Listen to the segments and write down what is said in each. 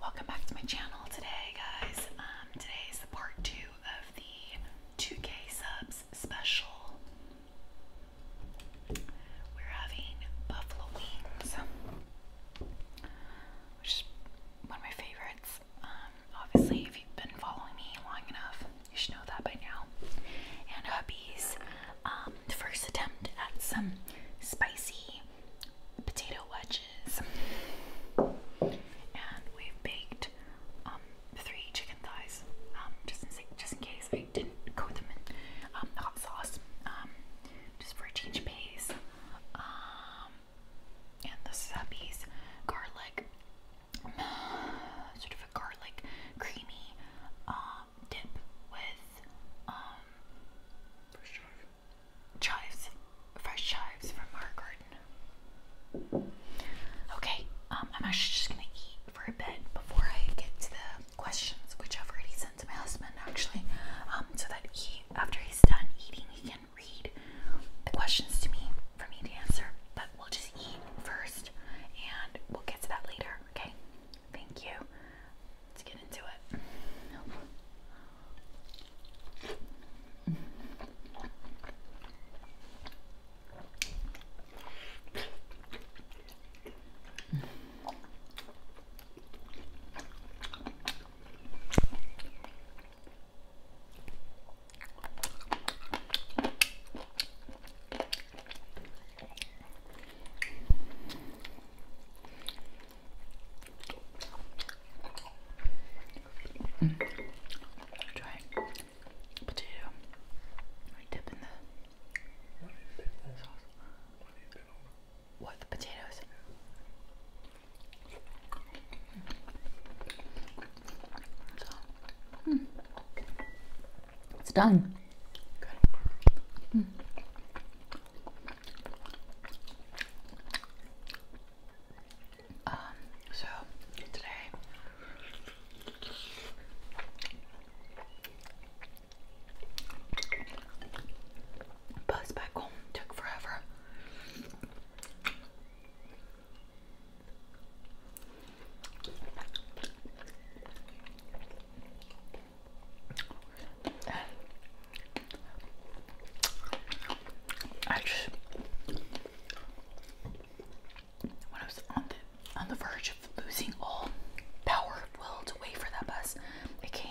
Welcome back to my channel today, guys. Um, today is the part two of the 2K subs special. We're having buffalo wings, which is one of my favorites. Um, obviously, if you've been following me long enough, you should know that by now. And hubby's um, first attempt at some spicy potato wedges is. And we've baked um, three chicken thighs, um, just in case I didn't coat them in um, hot sauce, just for a change of pace. and the subbies, garlic, sort of a garlic creamy dip with chives, fresh chives from our garden. Okay, um, I'm actually just gonna eat for a bit before I get to the questions, which I've already sent to my husband actually, um, so that he, after he's done eating, he can read the questions to me for me to answer. But we'll just eat first, and we'll get to that later. Okay? Thank you. Let's get into it. Try potato. Dip in the What the potatoes? It's done. Um, so today bus back home took forever. I just when I was on the on the verge of losing all power of will to wait for that bus, it came.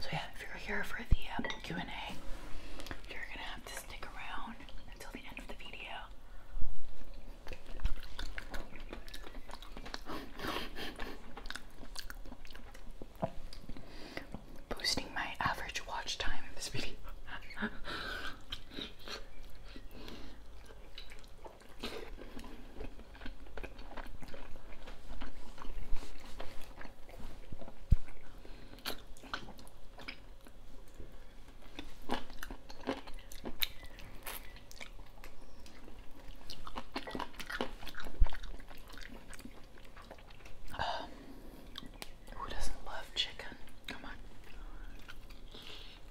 So yeah, if you're here for the uh, Q&A, you're gonna have to stick around until the end of the video. Boosting my average watch time in this video. Who doesn't love chicken? Come on.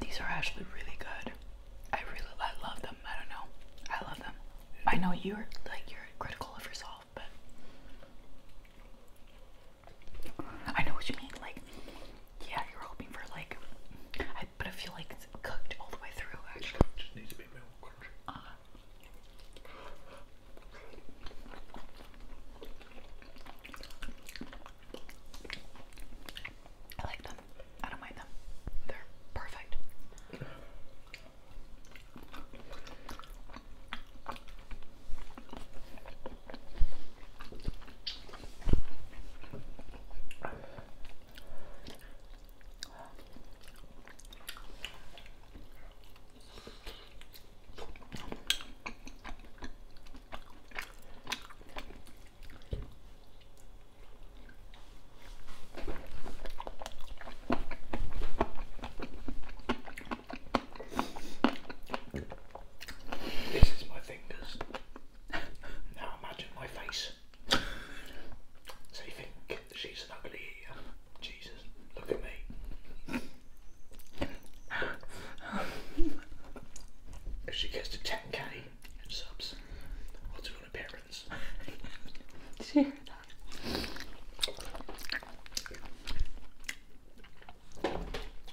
These are actually really good. I really I love them. I don't know. I love them. I know you're like you're critical of yourself, but I know what you mean. Like, yeah, you're hoping for like, I, but I feel like it's cooked all the way through. Actually, just needs to be more crunchy. Uh-huh. I like them. I don't mind them. They're perfect. This is my fingers. Now imagine my face. So you think she's an ugly Jesus, look at me. If she gets to 10k subs, I'll do an appearance. Did you hear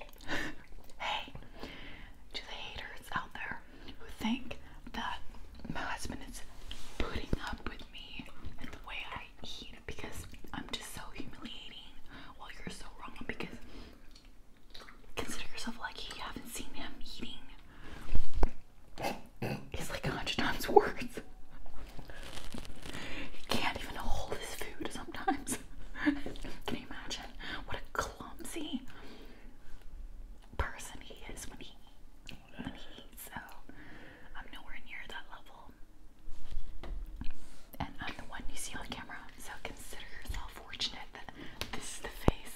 hey, to the haters out there who think that my husband is putting up with me and the way I eat because I'm just so humiliating. Well, you're so wrong because consider yourself lucky you haven't seen him eating. It's like a hundred times worse. He can't even hold his food sometimes. Can you imagine what a clumsy person he is when he eats. So I'm nowhere near that level. And I'm the one you see on camera, so consider yourself fortunate that this is the face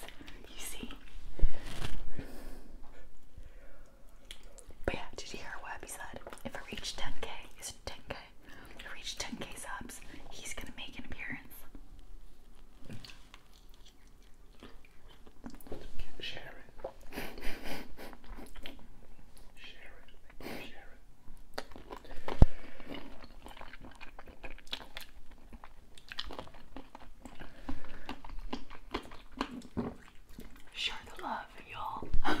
you see. But yeah, did you hear what Webby said? If I reach 10k, is 10k? we reach 10k subs, he's gonna make an appearance. Share it. Share the love, y'all.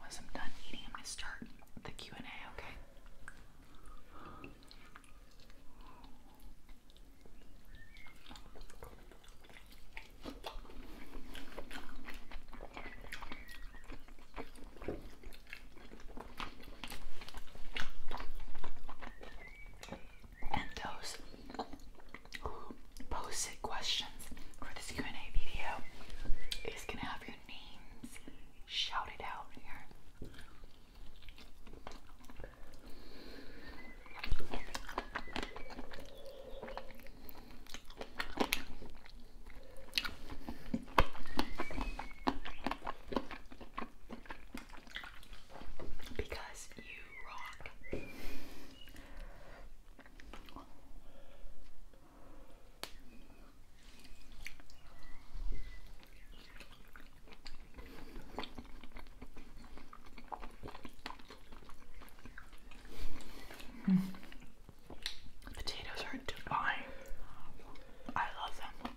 Once I'm done eating, I'm going to start the Q and A. Okay. And those posted questions for this Q&A video is gonna have your names shouted out here. Because you rock. Potatoes are divine. I love them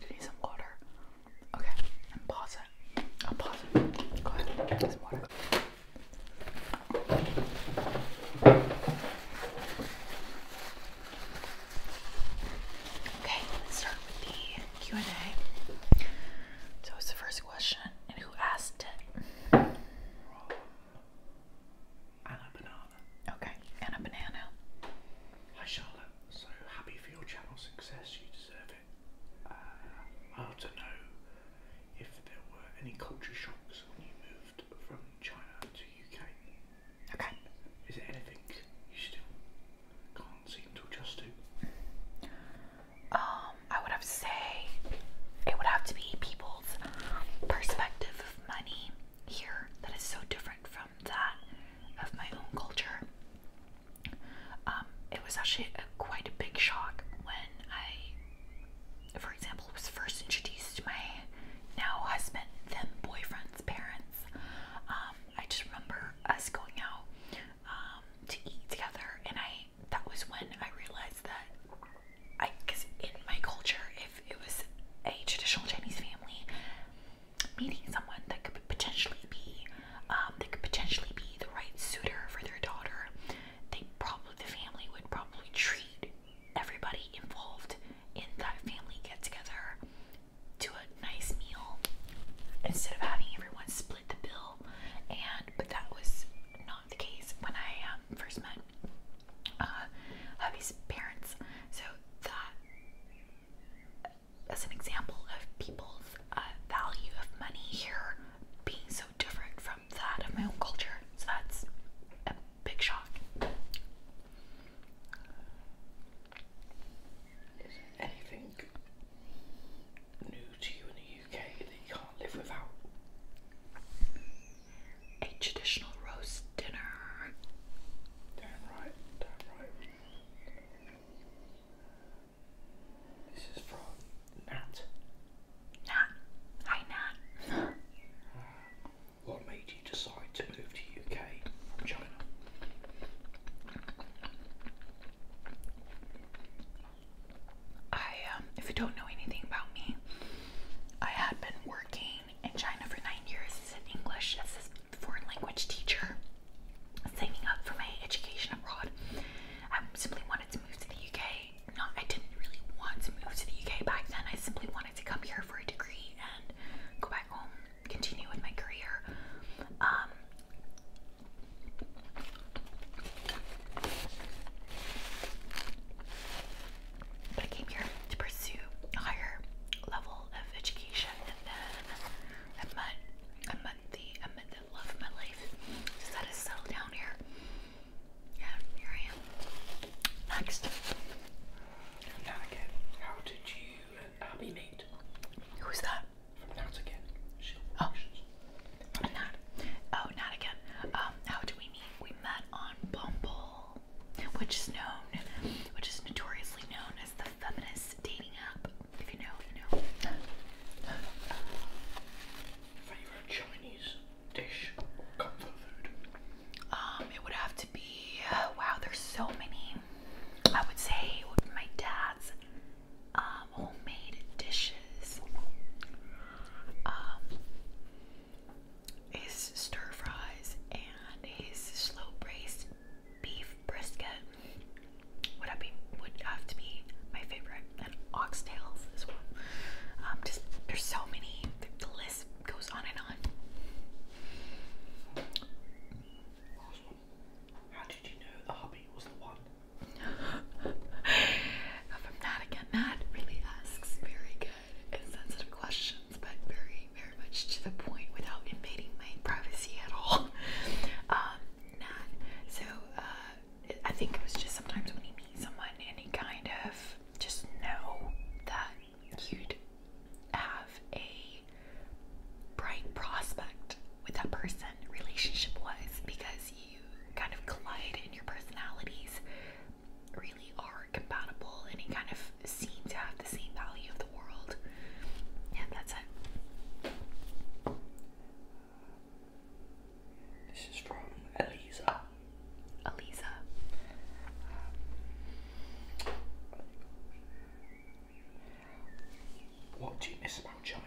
you need some water. Okay, and pause it. I'll oh, pause Go ahead, Okay, let's start with the Q&A. So what's the first question. And who asked it? Okay, and banana. Hi Charlotte, so happy for your channel success, you deserve it. Uh, I want to know if there were any culture shocks when you moved from China to UK. Okay. Is there anything you still can't um, I would have to say it would have to be people's perspective of money here that is so different from that of my own culture. Um, it was actually quite a big shock when I, for example, was first introduced to my now husband, then boyfriend's parents. Um, I just remember us going out to eat together, and I that was when I realized that I, because in my culture, if it was a traditional Chinese family meeting someone that could potentially be, um, that could potentially be the right suitor for their daughter, they probably the family would probably treat everybody involved in that family get together to a nice meal instead of having everyone split the bill and but that was not the case when I um, first met uh, hubby's parents. So that, as an example of people's uh, value of money here being so different from that of my own culture, so that's a big shock. anything new to you in the UK that you can't live without? A traditional roast dinner. Damn right, damn right. This is from Nat. Nat, hi Nat. what made you decide to move to UK from China? I, um, if you don't know anything about me, I had been working in China for nine years as an English, as a foreign language teacher, saving up for my education abroad. I simply wanted to move to the UK. Not, I didn't really want to move to the UK back then. I simply wanted to come here for a degree and go back home, continue with my career. Um, but I came here to pursue a higher level of education and then I met I met the I of my life. Decided to settle down here. Yeah, here I am. Next. Now again, how did you and Abby meet? Who's that? oh. Not. Oh, not again. Um, how do we meet? We met on Bumble, which is known, which is notoriously known as the feminist dating app. If you know, you know. Favorite Chinese dish comfort food? Um, it would have to be. Uh, wow, there's so many. I would say my dad's um, homemade dishes. Um, his stir fries and his slow braised beef brisket would be, would have to be my favorite, and oxtails as well. Um, just there's so many. The, list goes on and on. How did you know the hobby was the one if I'm not again, Matt really asks very good and sensitive questions, but very, very much to the point without invading my privacy at all. um, so. Uh, I think it was just sometimes when he meets someone any kind of just know that you'd have a bright prospect with that person relationship was because you kind of collide and your personalities really are compatible and you kind of seem to have the same value of the world. And that's it. This is from Eliza. Elisa. What do you miss about China?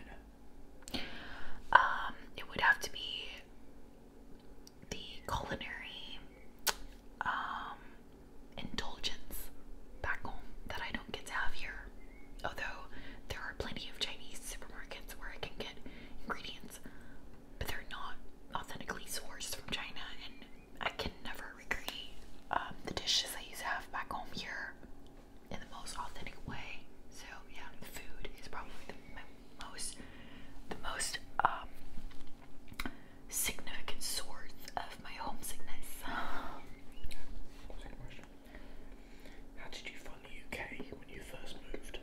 Um, it would have to be the culinary um, indulgence back home that I don't get to have here. Although there are plenty of Chinese supermarkets where I can get ingredients, but they're not authentically sourced from China, and I can never recreate um, the dishes I used to have back home here in the most authentic way. So yeah, the food is probably the most the most um, significant source of my homesickness. How did you find the UK when you first moved?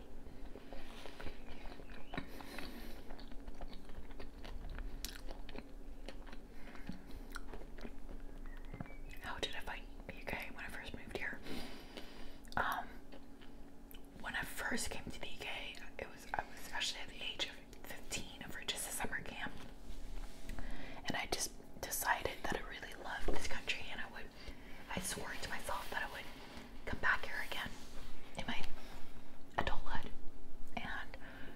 how did I find UK when I first moved here? Um, when I first came to the UK, it was especially at the age of 15 for just a summer camp, and I just decided that I really loved this country, and I would, I swore to myself that I would come back here again in my adulthood. And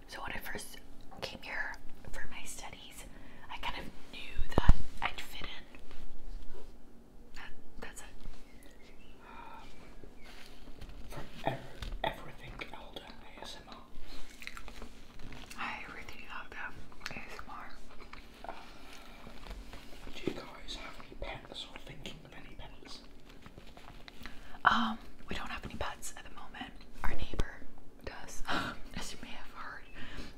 so when I first came here for my study. I kind of knew that I'd fit in. that's it. Um, everything Elda ASMR. Hi, everything Elda ASMR. do you guys have any pets or thinking of any pets? Um, we don't have any pets at the moment. Our neighbor does. As you may have heard,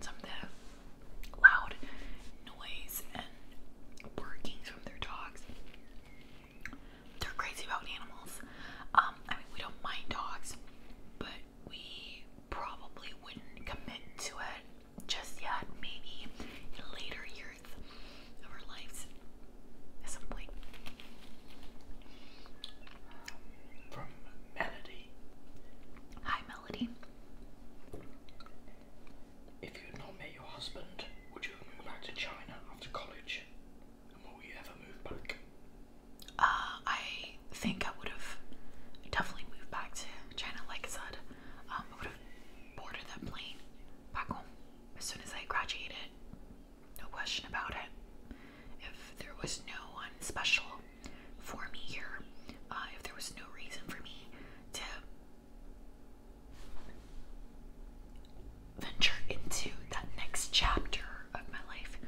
some of the loud noise and barkings from their dogs. They're crazy about animals. Um, I mean, we don't mind dogs, but we probably wouldn't commit to it just yet. Maybe later years of our lives at From Melody. Hi, Melody. If you had not met your husband, would you have moved back to China after college? And will you ever move back? Uh, I think I would have definitely moved back to China, like I said. Um, I would have boarded that plane back home as soon as I graduated. No question about it. If there was no one special for me here. Uh, if there was no reason for me to venture into that next chapter of my life,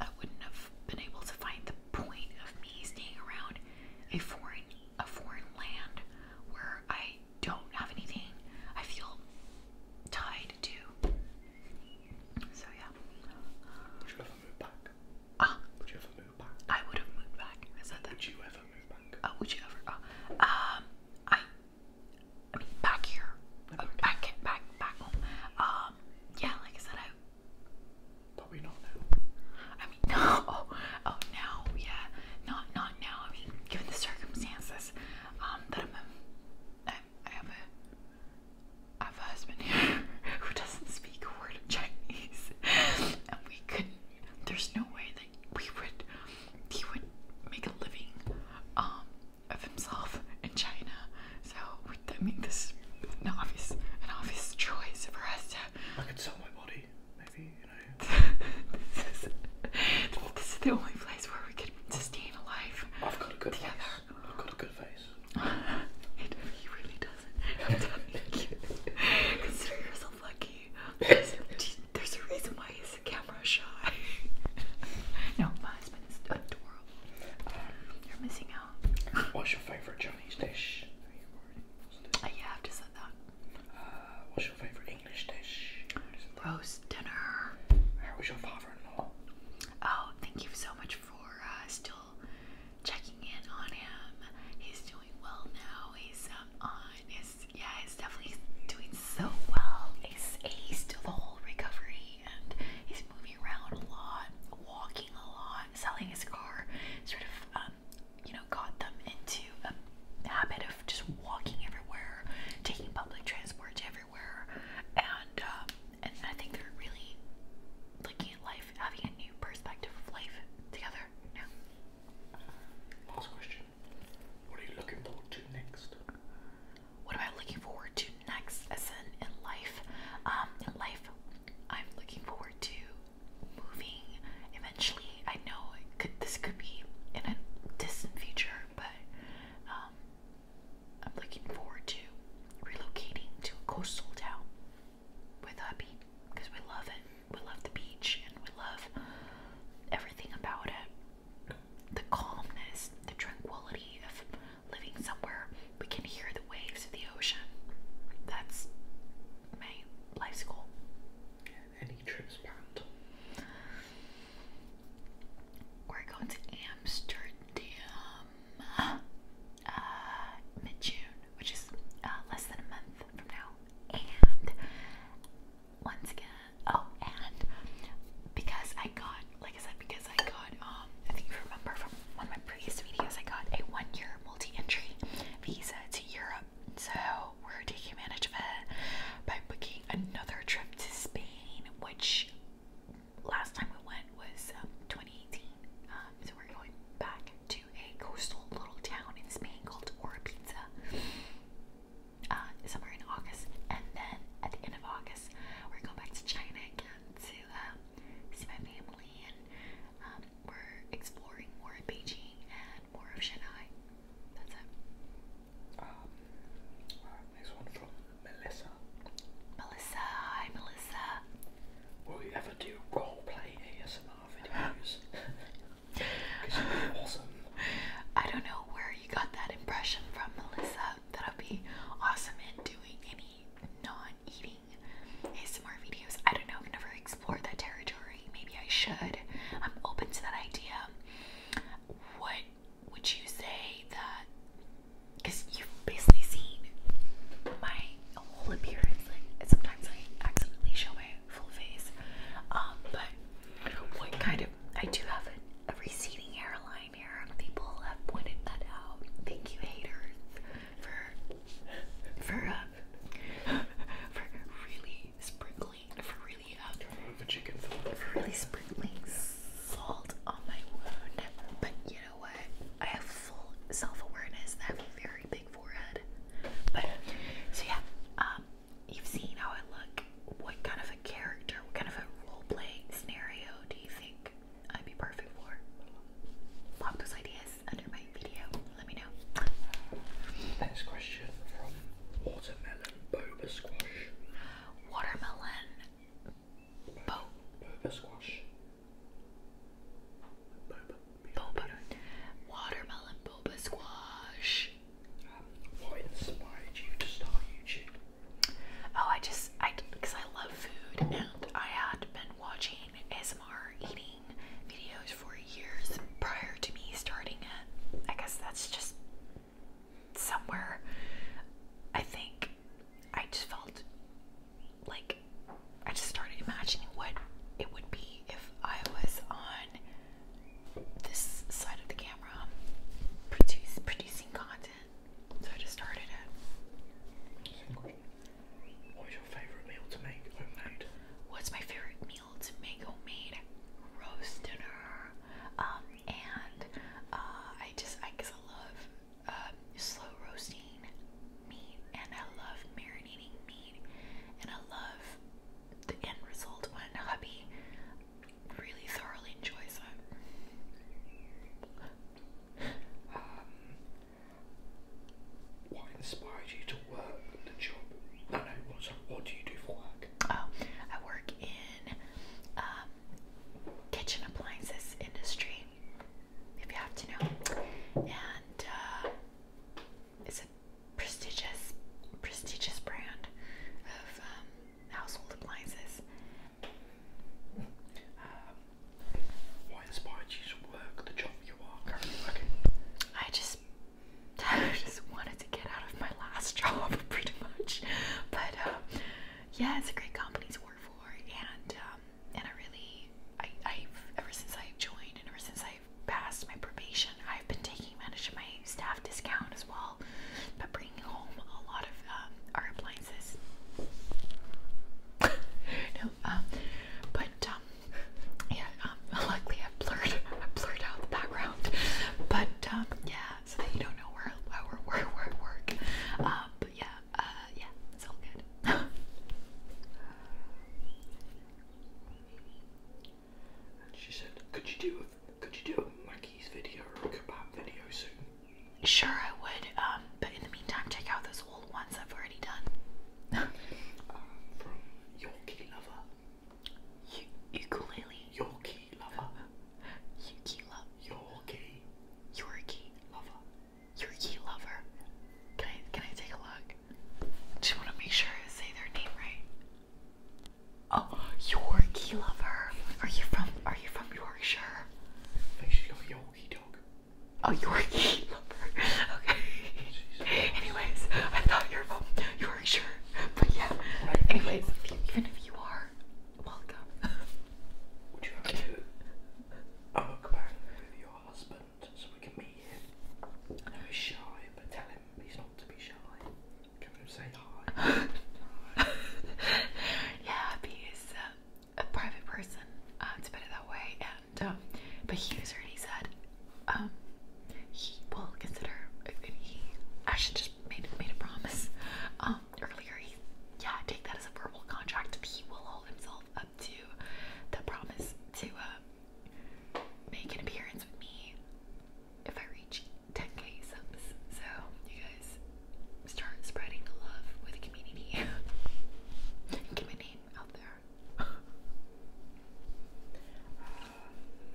I wouldn't have been able to find the point of me staying around a foreign a foreign land where I don't have anything I feel tied to. So yeah. Would you ever move back? Ah. Would you ever move back? I would have moved back. Is that that? Would you ever move back? Oh, would you ever? Oh, um, I. I mean, back here. back, oh, back, back, back home. Um, yeah, like I said, I. Probably oh, not now. I mean, no. Oh, oh, yeah, not, not now. given the circumstances, um, that I'm, a, I, I have a I have a husband here who doesn't speak a word of Chinese, and we couldn't. There's no way that we would. He would make a living um, of himself in China. So I make this is an obvious, an obvious choice for us to. I could sell my body, maybe you know. this, is, this is the only place where we could sustain a life. I've got a good together. I've got a good face. you know, he really doesn't. I'm telling you. Consider yourself lucky. There's, a reason why he's camera shy. no, my husband is adorable. You're missing out. what's your favorite Chinese dish? Uh, yeah, I've just said that. Uh, what's your favorite English dish? Roast dinner. How was your father-in-law? Oh, thank you so much for uh, still checking in on him. He's doing well now. He's um, on his yeah. He's definitely doing so well. He's aced the whole recovery, and he's moving around a lot, walking a lot, selling his car. Sort of um, you know got them into a habit of just walking everywhere, taking public transport everywhere everywhere, and um, and I think they're really looking at life, having a new perspective of life together Last question: What are you looking forward to next? What am I looking forward to next, as in in life? Um, in life, I'm looking forward to moving eventually. I know this could be in a distant future, but um, I'm looking forward to relocating to a coastal town with hubby because we love it. We love the beach and we love everything about it. The calmness, the tranquility of living somewhere we can hear the waves of the ocean. That's my life's goal. any trips planned? We're going to Amsterdam um, uh, mid June, which is uh, less than a month from now. And once again, oh, and because I got, like I said, because I got, um, I think you remember from one of my previous videos, I got a one year multi entry visa to Europe. So we're taking advantage of it by booking another trip to Spain, which last time we went was um, 2018. Um, so we're going back to a coastal little town in Spain called Oropinza uh, somewhere in August. And then at the end of August, we're going back to China again to um, see my family. And we're exploring more of Beijing and more of Shanghai. That's it. Melissa. Melissa, hi Melissa. Will you ever do role play ASMR videos? Because you'd awesome. I don't know where you got that impression from, Melissa, that I'd be awesome at doing any non-eating ASMR videos. I don't know, I've never explored that territory. Maybe I should. I'm open to that idea. What would you say that because you've basically seen my whole appearance. Like sometimes I accidentally show my full face, um, but what kind of I do have a, receding hairline here. People have pointed that out. Thank you, haters, for for uh, for really sprinkling for really uh, for really sprinkling salt on my wound. But you know what? I have full self-awareness and very big forehead. But so yeah, um, you've seen how I look. What kind of a character, what kind of a role-playing scenario do you think I'd be perfect for? Pop those ideas under my video. Let me know. Next question from Watermelon Boba Squash. Watermelon Bo boba squash. Boba. Boba. Watermelon boba squash. what inspired you to start YouTube? Oh, I just, I, because I love food and I had been watching ASMR eating videos for years prior to me starting it. I guess that's just somewhere I think I just felt like I just started imagining what it would be if I was on this side of the camera produce, producing content. So I just started it. What's your favorite meal to make homemade? What's my favorite meal to make homemade? Roast dinner. Um, and uh, I just, I guess I love um, slow roasting meat, and I love marinating meat, and I love the end result when hubby really thoroughly enjoys it. Um, what inspired you to work the job? No, no, what, what do you do for work? Oh, I work in um, kitchen appliances industry, if you have to know. And uh, it's a prestigious, prestigious brand of um, household appliances. Um, Why inspired you work the job you are currently working? I just, I just wanted to get out of my last job, pretty much. But um, yeah, it's a great company to work for and um, and I really, I, have ever since I've joined and ever since I've passed my probation, I've been taking advantage of my staff discount as well, but bringing home a lot of um, our appliances. no, um, but um, yeah, um, luckily i blurred, I blurred out the background, but um, yeah, so that you don't know where where where, where I yeah, uh, yeah, it's all good. and she said, "Could you do a could you do a Maggie's video or video soon?" Sure, I would. Um, but in the meantime, check out those old ones I've already done. Uh, from Yorkie lover. You ukulele. Yorkie lover. Yuki lover. Yorkie. Yorkie lover. Yorkie lover. Can I can I take a look? Just wanna make sure I say their name right. Oh, Yorkie lover. Are you from are you from Yorkshire? I think she's got a Yorkie dog. Oh Yorkie lover. Okay. Anyways, I thought you were from Yorkshire. But yeah. Anyways, even if you are, Welcome. Would you like to do a mukbang with your husband so we can meet him? I know shy, but tell him he's not to be shy. Can to say hi? hi. yeah, he is a private person, uh, to that way. And um, but he was already said um, he will consider. He, I should just made made a promise. Um, earlier, he, yeah, take that as a verbal contract. He will hold himself up to the promise to uh, make an appearance with me if I reach 10k subs. So, you guys start spreading the love with the community. Give my name out there.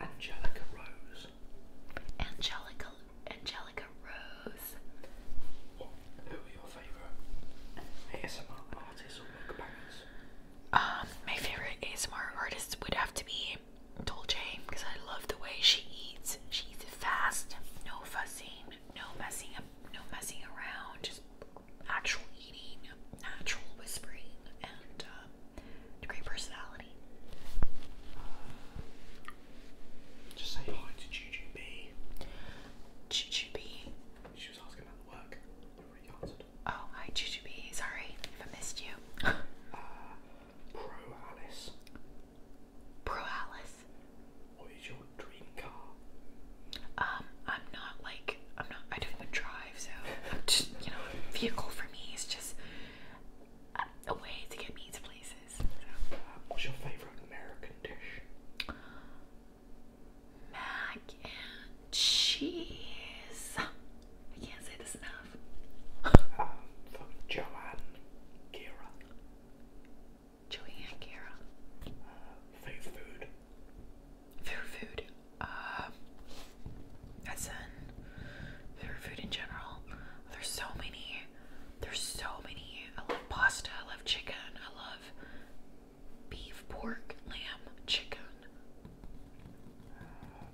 Uh, Angelica Rose. Angelica Angelica Rose. What, who are your favourite ASMR artists or mukbangers? Um, my favourite ASMR artist would have to be Dolce because I love the way she eats. She eats fast, no fussing, no messing up, no messing around, just actual eating, natural whispering, and um, great personality. Just say hi to Juju B. Juju B. She was asking about the work. Oh, hi Juju B. Sorry if I missed you. uh, Alice. Pro Alice. What is your dream car? Um, I'm not like I'm not. I don't even drive, so you know, vehicle for me is just a way to get me to places what's your favorite American dish? Mac and cheese. I can't say this enough. um, Joanne Gira. Joanne Gira. Uh, favorite food. Favorite food. Um, as in favorite food in general. There's so many. There's so many I love pasta, I love chicken, I love beef, pork, lamb, chicken,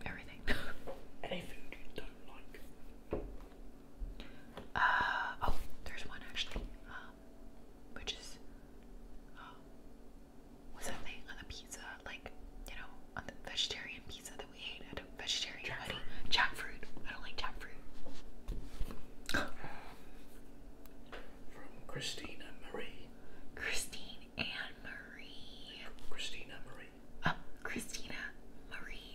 everything. Any you don't like. Uh, oh, there's one actually, um, which is, um, what's that thing on the pizza, like, you know, on the vegetarian pizza that we ate vegetarian hoodie, jackfruit. I don't like jackfruit. From Christina Marie. Christine Marie. Christina Marie. Christina Marie.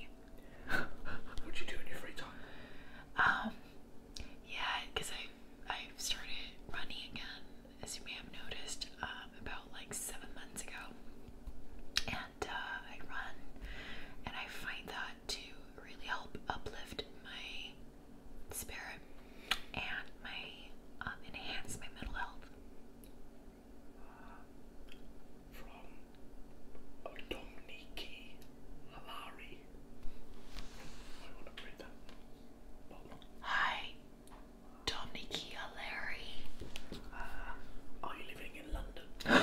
what you do in time? Um, yeah, because I i started running again, as you may have noticed, um, about like seven months ago, and and uh, I run, and I find that to really help uplift my spirit and my um, enhance my mental health. From Domniki Halari. I want to read that. Hi, Domniki Halari. Uh, I, don't,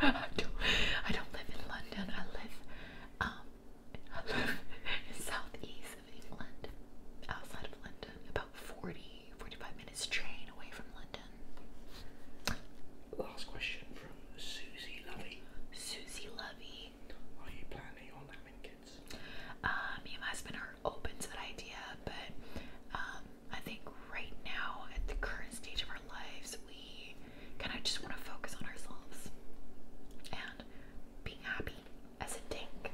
live in London. Um, I live, in southeast of England, outside of London, about 40, 45 minutes train away from London. Last question from Susie Lovey. Susie Lovey. Are you planning on having kids? Um, me and my husband are open to that idea, but um, I think right now, at the current stage of our lives, we kind of just want to focus on ourselves and being happy as a tank.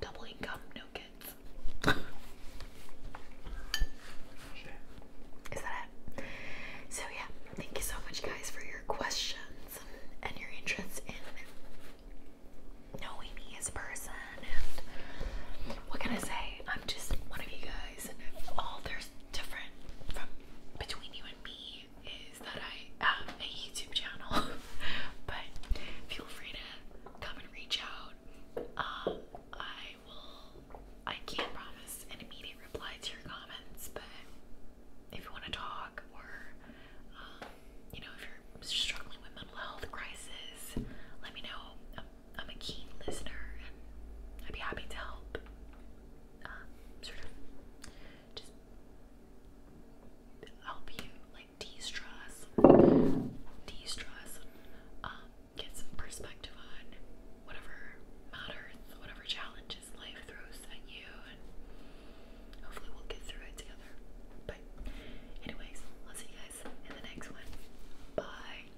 Double income, no kids. Is that it? So, yeah, thank you so much, guys, for your questions and your interest in knowing me as a person. And what can I say? I'm just one of you guys, and all there's different from between you and me is that I have a YouTube channel. but feel free to come and reach out. Um, I will. I can't promise an immediate reply to your comments, but if you want to talk or um, you know if you're struggling with mental health crisis, let me know. I'm a keen listener and I'd be happy to help. Um, sort of just help you like de-stress, de-stress, um, get some perspective on whatever matters, whatever challenges life throws at you, and hopefully we'll get through it together. But anyways, I'll see you guys in the next one. Bye.